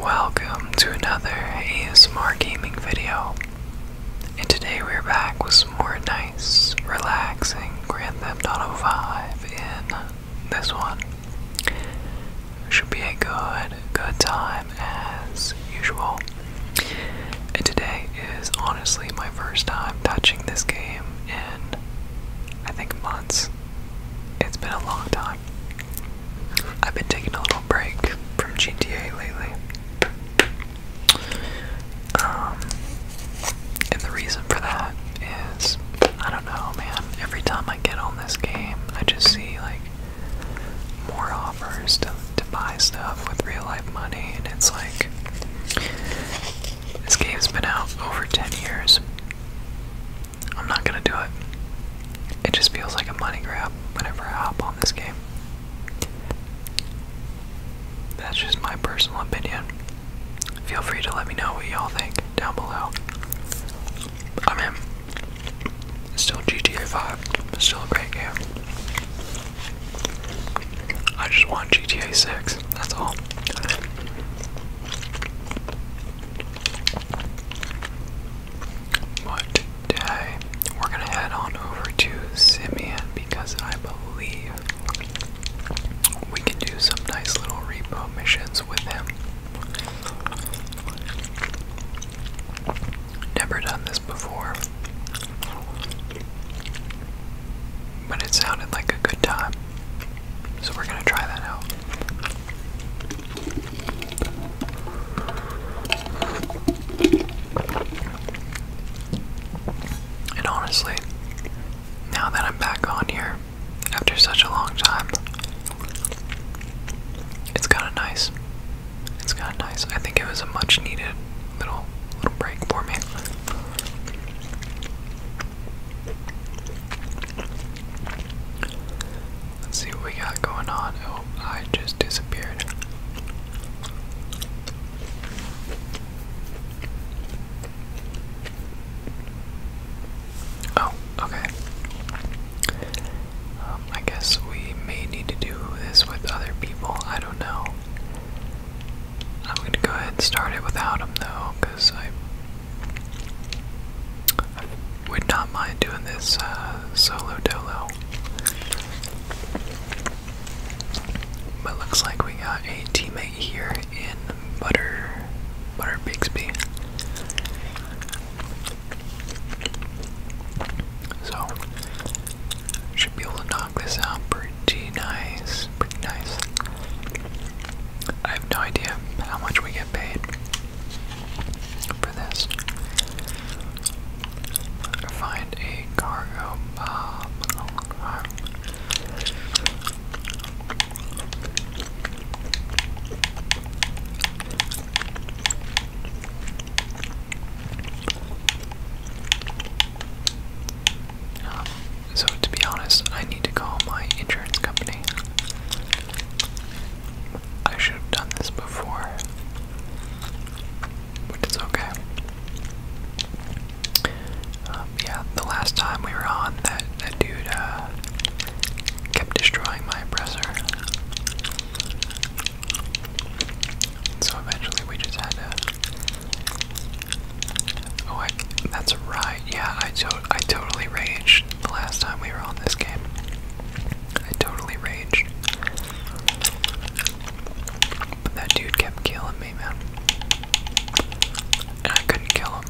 Welcome to another ASMR gaming video. And today we're back with some more nice, relaxing Grand Theft Auto 5 in this one. Should be a good, good time as usual. And today is honestly my first time touching this game in I think months. It's been a long time I've been taking a little break from GTA lately. Um, and the reason for that is, I don't know, man. Every time I get on this game, I just see like more offers to, to buy stuff with real life money, and it's like this game's been out over 10 years. I'm not gonna do it. It just feels like a money grab whenever I hop on this game. That's just my personal opinion. Feel free to let me know what y'all think down below. I mean, it's still GTA 5, still a great game. I just want GTA 6, that's all. But today we're gonna head on over to Simeon because I believe we can do some nice little repo missions with him. Never done this before. But it sounded like a good time. So we're gonna try that out. And honestly, now that I'm back on here after such a long time, it's kind of nice. It's kind of nice. I think it was a much needed little little break for me. Let's see what we got going on. Oh, I just disappeared. Oh, okay. Um, I guess we may need to do this with other people. I don't know. I'm gonna go ahead and start it without him though, because I I would not mind doing this uh, solo dolo. But looks like we got a teammate here in Butter Butter Bixby. So should be able to knock this out pretty nice. Pretty nice. I have no idea how much we get paid for this. Find a cargo bomb. Um, um, so, to be honest, I need to call my insurance company. I should have done this before, but it's okay. Um, yeah, the last time we were on, that, that dude uh, kept destroying my oppressor. So eventually we just had to. Oh, that's a yeah, I to I totally raged the last time we were on this game. I totally raged. But that dude kept killing me, man. And I couldn't kill him.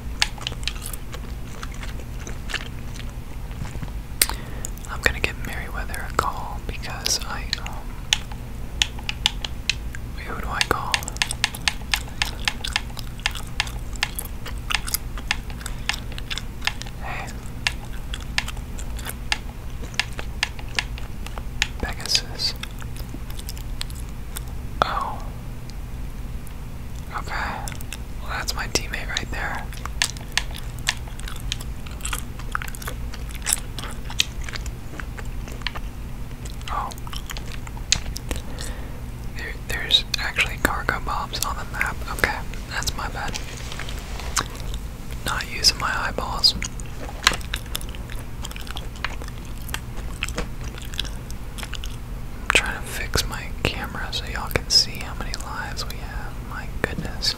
I'm gonna get Meriwether a call because I um who do I call? Pegasus. Oh. Okay. Well, that's my teammate right there. Oh there's actually cargo bombs on the map. Okay, that's my bad. Not using my eyeballs. I'm trying to fix my camera so y'all can see how many lives we have. My goodness.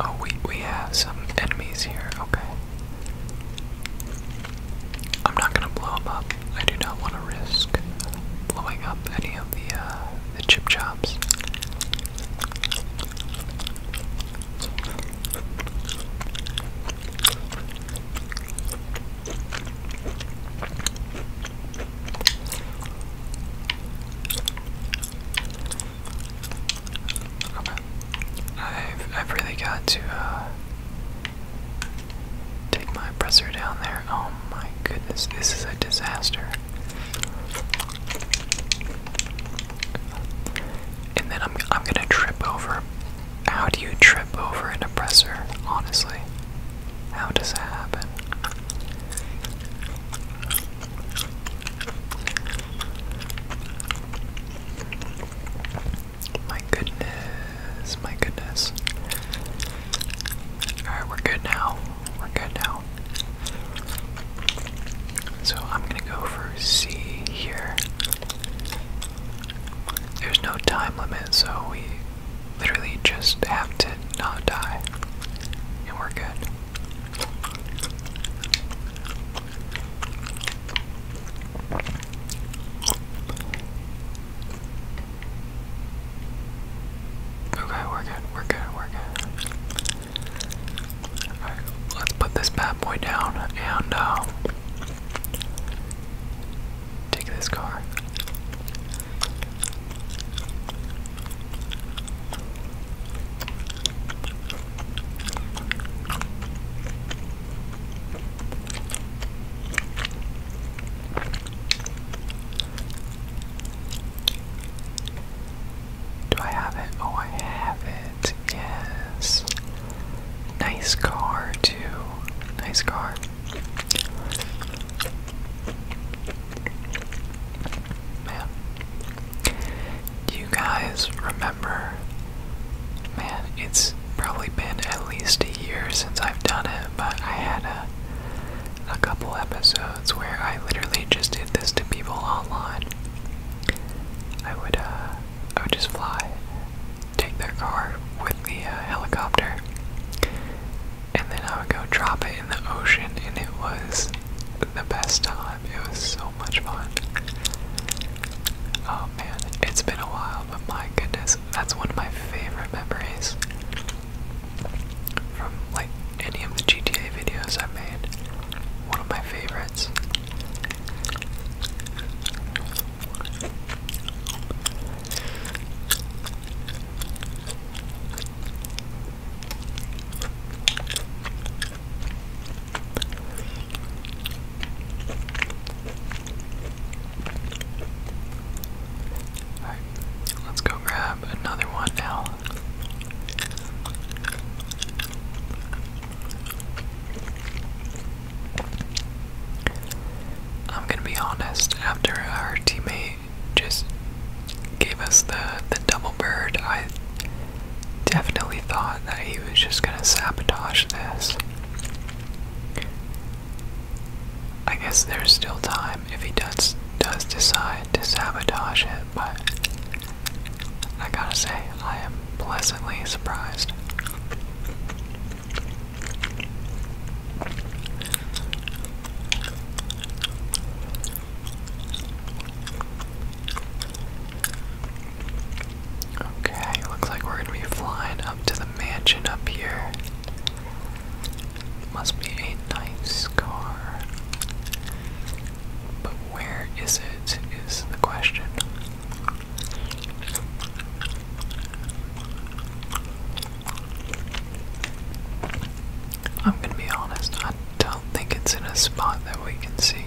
Oh, we we have some enemies here. Okay. I'm not gonna blow them up. I do not want to risk blowing up any of the uh, the chip chops. I've I've really got to uh, take my presser down there. Oh my goodness, this is a disaster. And then I'm I'm gonna trip over. How do you trip over an oppressor? Honestly, how does that happen? My goodness, my goodness. Alright, we're good now. We're good now. So I'm gonna go for C here. There's no time limit, so we literally just have to not die, and we're good. Okay, we're good, we're good, we're good. Alright, let's put this bad boy down and um, Take this car. Do I have it? Oh, I have it. Yes. Nice car, too. Nice car. Man. you guys remember? Man, it's probably been at least a year since I've done it, but I had a, a couple episodes where I literally just did this to people online. I would, uh, I would just fly take their car with the uh, helicopter, and then I would go drop it in the ocean, and it was the best time. It was so much fun. Oh man, it's been a while, but my goodness, that's one of my favorite memories from like any of the GTA videos I made. One of my favorites. Alright, let's go grab another one now. I'm gonna be honest, after our teammate just gave us the, the double bird, I definitely thought that he was just gonna sabotage this. I guess there's still time if he does does decide to sabotage it, but I gotta say I am pleasantly surprised. Okay, looks like we're gonna be flying up to the mansion up here. Must be a nice car. But where is it? Is the question. I'm gonna be honest, I don't think it's in a spot that we can see.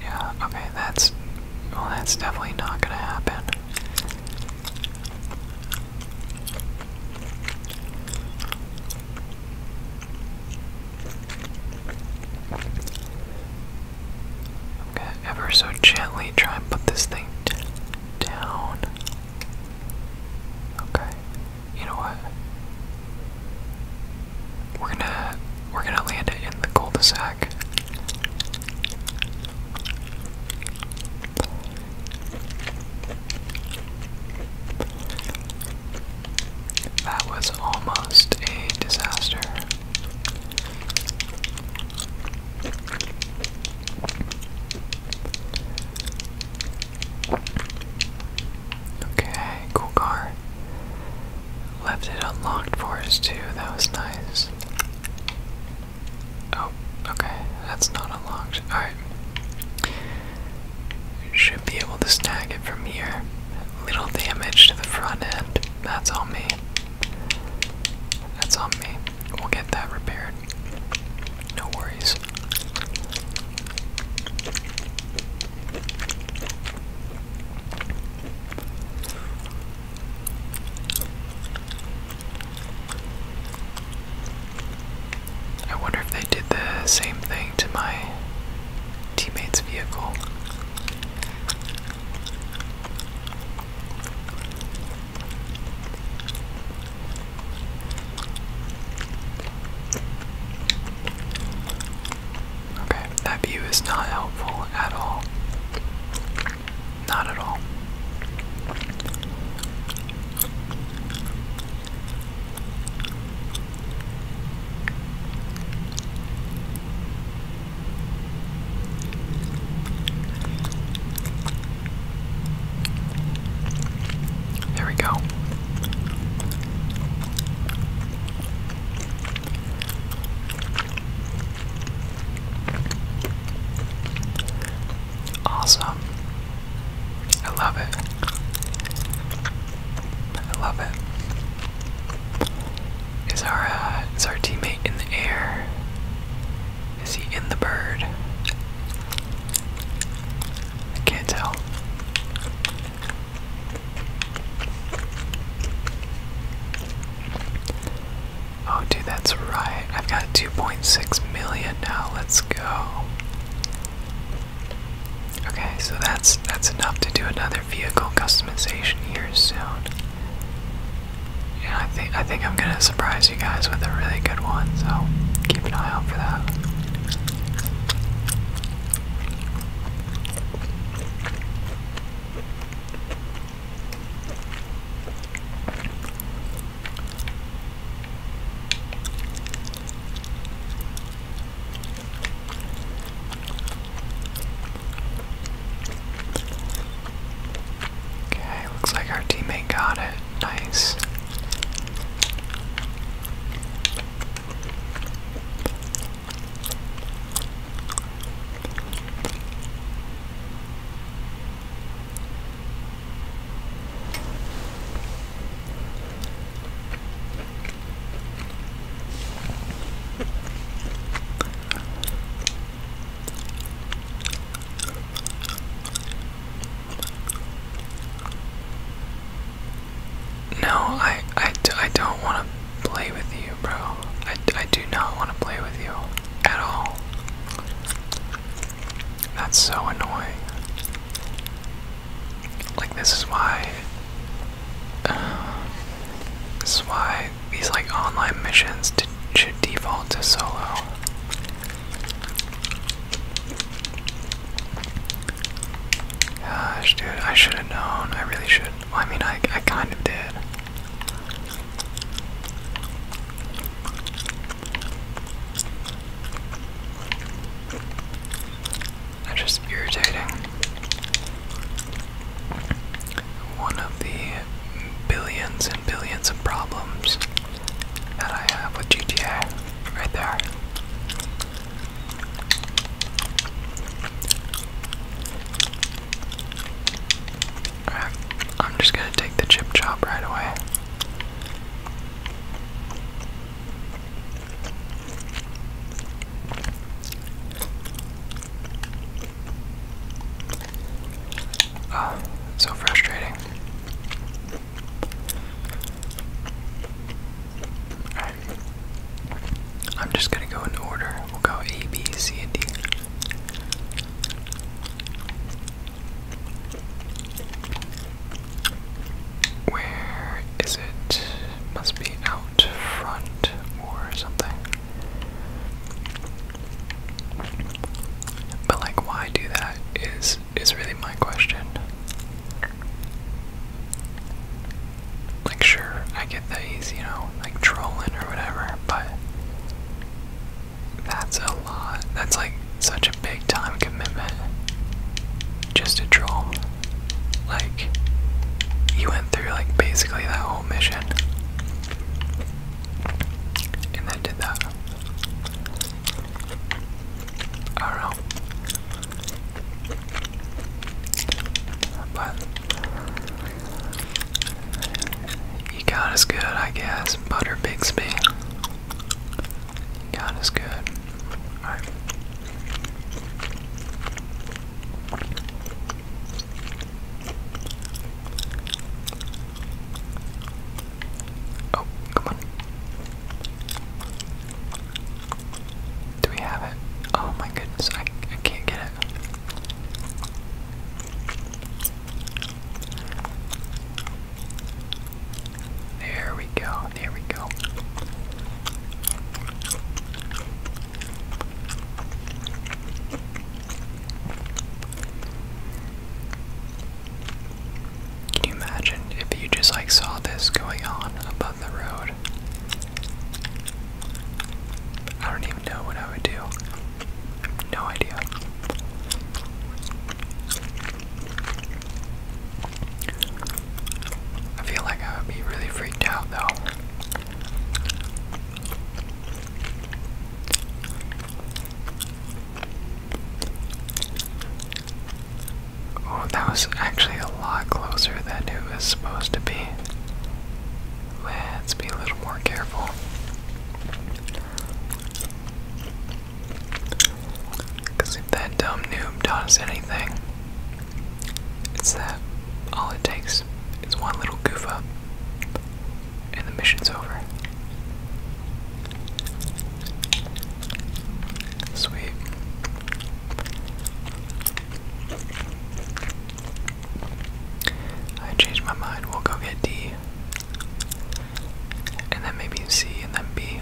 Yeah, okay, that's. Well, that's definitely not gonna happen i ever so gently try and put this thing down. Okay. You know what? We're gonna we're gonna land it in the cul-de-sac. That was almost a disaster. Okay, cool car. Left it unlocked for us too, that was nice. Oh, okay, that's not unlocked. Alright. Should be able to snag it from here. Little damage to the front end. That's on me. That's on me. We'll get that repaired. No worries. I wonder if they did the same thing to my teammate's vehicle. Okay, that view is not helpful at all. Not at all. There we go. Awesome. I love it. I love it. Is our uh, is our teammate in the air? Is he in the bird? I can't tell. Oh, dude, that's right. I've got 2.6 million now. Let's go. Okay, so that's that's enough to do another vehicle customization here soon. Yeah, I think I think I'm gonna surprise you guys with a really good one, so keep an eye out for that. Okay, looks like our teammate got it. Nice. No, I, I, I don't want to play with you, bro. I, I do not want to play with you at all. That's so annoying. Like this is why this is why these like online missions should default to solo. Gosh, dude, I should have known. I really should. I mean, I I kind of did. That's just irritating. One of the billions and billions of problems that I have with GTA right there. I'm just gonna take the chip chop right away. Ah, so frustrating. Alright. I'm just gonna go in order. We'll go A, B, C, and D. Where is it? Must be out front or something. But like why do that is is really my question. Like sure, I get that he's, you know, like trolling or whatever, but that's a lot. That's like such a big time commitment. Just to troll. Like, you went through like basically that whole mission. And then did that. I don't know. But you got us good, I guess. Butter Bixby. God is good. Alright. Oh, come on. Do we have it? Oh my goodness, I, I can't get it. There we go, there we go. Can you imagine if you just like saw this going on above the road? I don't even know what I would do. No idea. I feel like I would be really freaked out though. Oh, that was actually a lot closer than it was supposed to be. Let's be a little more careful. Because if that dumb noob taught us anything, it's that all it takes is one little goof up, and the mission's over. Sweet. I changed my mind. We'll go get D and then maybe C and then B.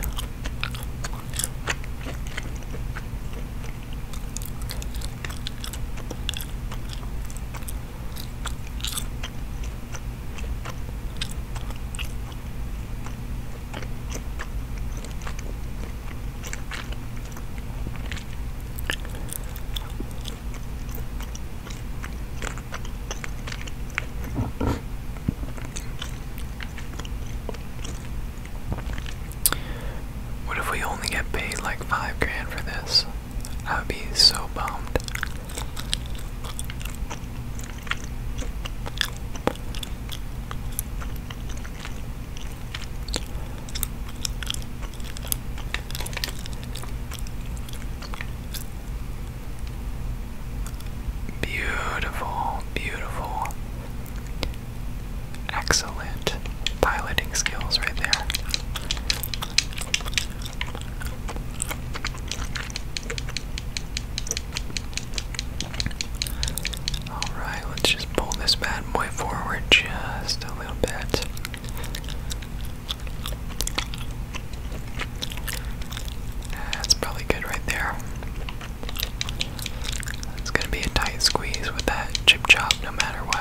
What if we only get paid like five grand for this? I would be so bummed. Beautiful, beautiful. Excellent piloting skills right there. Alright, let's just pull this bad boy forward just a little bit. That's probably good right there. It's gonna be a tight squeeze with that chip chop no matter what.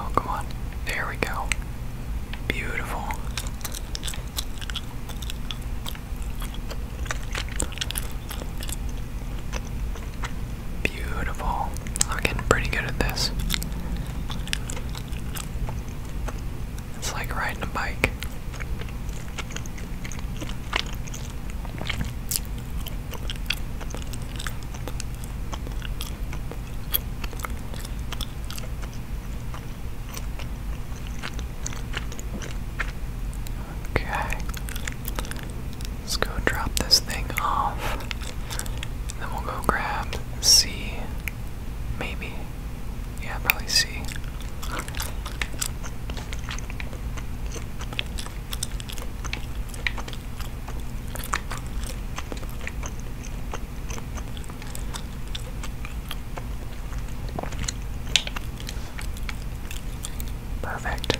Oh, come on. There we go. Beautiful. Beautiful. I'm getting pretty good at this. It's like riding a bike. Okay. Let's go drop this thing off. then we'll go grab C. Maybe. Yeah, probably C. Perfect.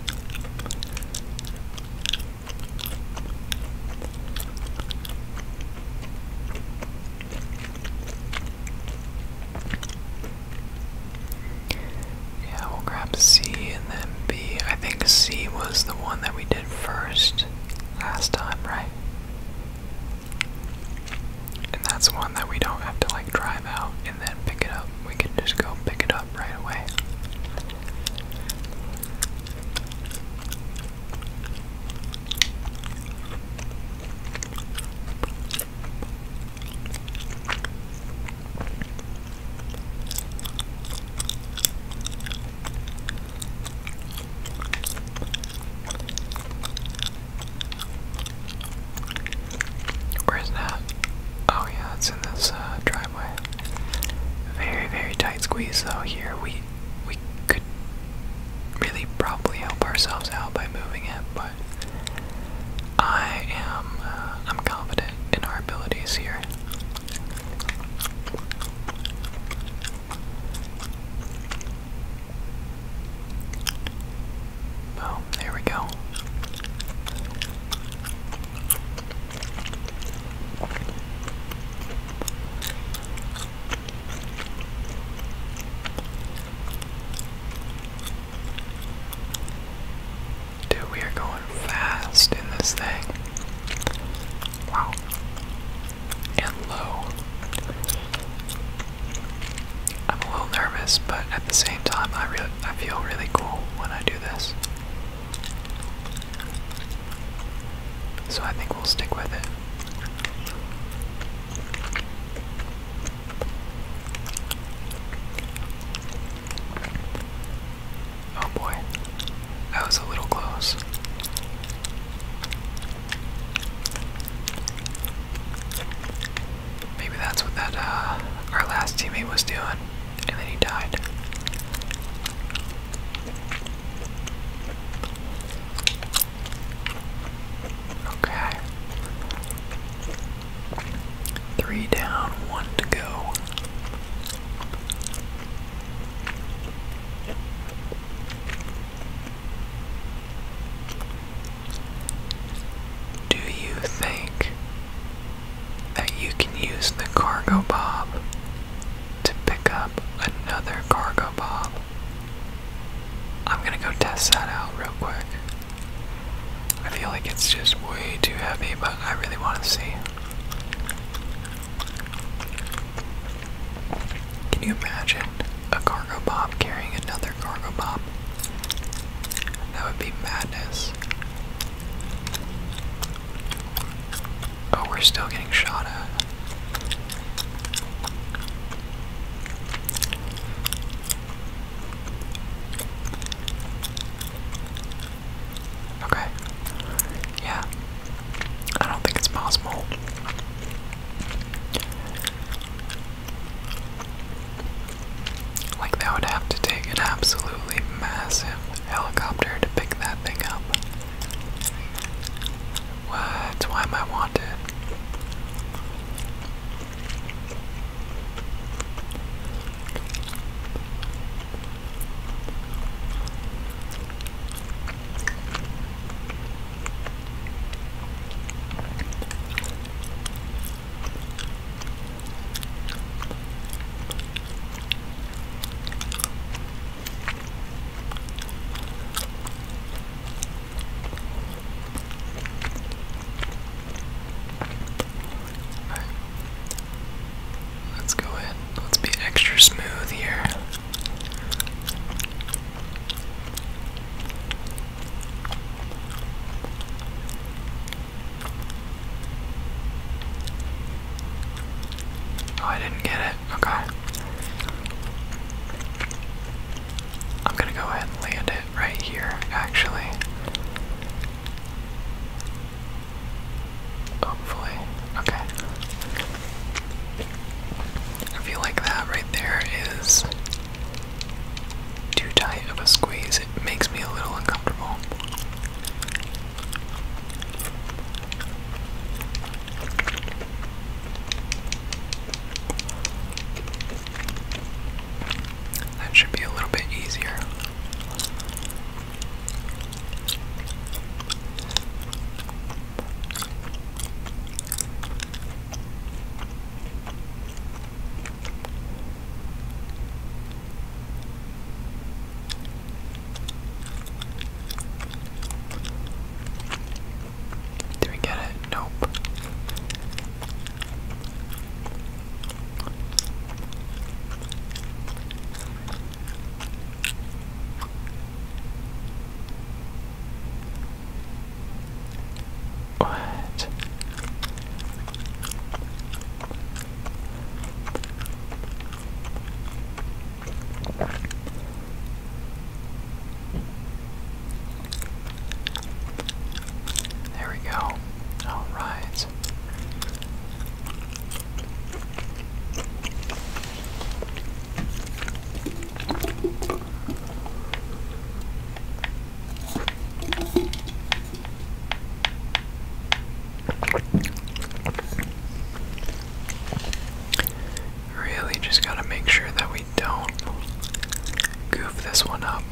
Yeah, we'll grab C and then B. I think C was the one that we did first last time, right? And that's one that we don't have to like drive out and then pick it up. We can just go pick it up right away. Where's that? Oh yeah, it's in this uh, driveway. Very, very tight squeeze though here. We we could really probably help ourselves out by moving it, but I am uh, I'm confident in our abilities here. Boom, there we go. Dude, we are going fast in this thing. Wow and low. I'm a little nervous, but at the same time, I really, I feel really cool when I do this. So I think we'll stick with it. Oh boy, that was a little close. Maybe that's what that uh, our last teammate was doing, and then he died. Okay. Three down, one to go. Do you think that you can use the cargo bob to pick up another cargo bob? I'm gonna go test that out real quick. I feel like it's just way too heavy, but I really want to see. Can you imagine a cargo bob carrying another cargo bob? That would be madness. Oh, we're still getting shot at. Okay. Yeah. I don't think it's possible. Like, that would have to take an absolutely massive helicopter to pick that thing up. What? Why am I wanted? right. Let's go ahead. Let's be extra smooth here. Oh, I didn't get it. Okay. I'm gonna go ahead and land it right here, actually. Hopefully. Okay. I feel like that right there is too tight of a squeeze. It makes me a little uncomfortable. That should be a little bit easier. Did we get it? Nope. There we go. All right. Really just gotta make sure that we don't goof this one up.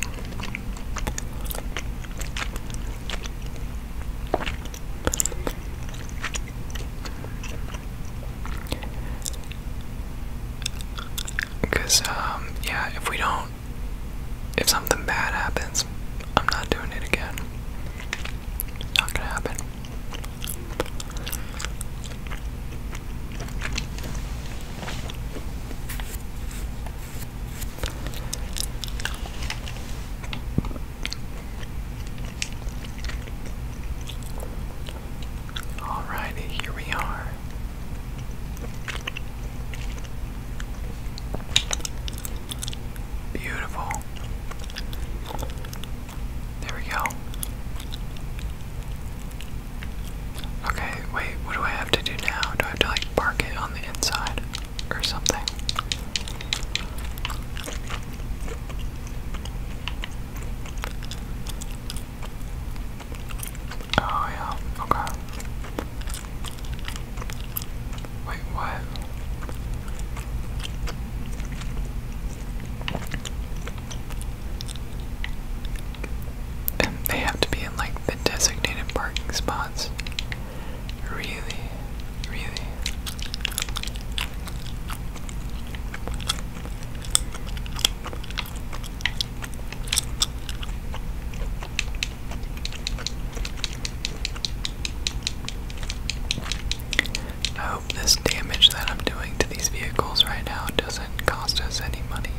Because, um, yeah, if we don't, if something bad happens, I'm not doing it again. Not gonna happen. Alrighty, here we are. Beautiful. There we go. Okay, wait, what do I have to do now? Do I have to like park it on the inside or something? Oh, yeah, okay. Wait, what? And they have to be in like the designated parking spots. Really, really. I oh, hope this damage that I'm doing to these vehicles right now doesn't cost us any money.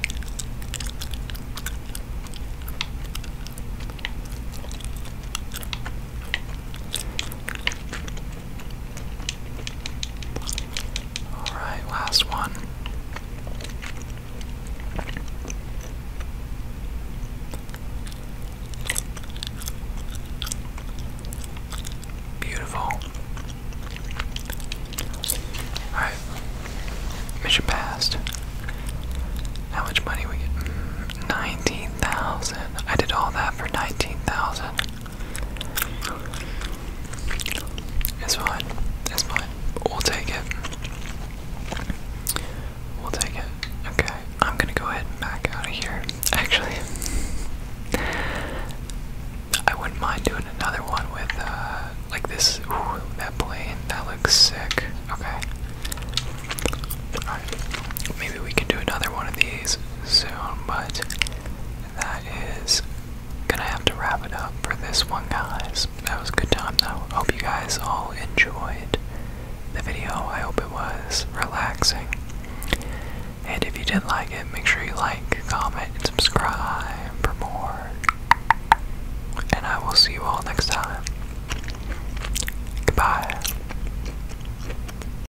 All right, last one. Beautiful. All right. Mission passed. How much money we get? Mm, 19,000. I did all that for 19,000. It's fine. It's fine. We'll take it. We'll take it. Okay. I'm gonna go ahead and back out of here. Actually, I wouldn't mind doing another one with uh, like this. Ooh, that plane. That looks sick. Okay. Alright. Maybe we can do another one of these soon, but that is gonna have to wrap it up for this one, guys. That was a good time, though. Hope you guys all enjoyed the video. I hope it was relaxing. And if you did like it, make sure you like, comment, and subscribe for more. And I will see you all next time. Goodbye.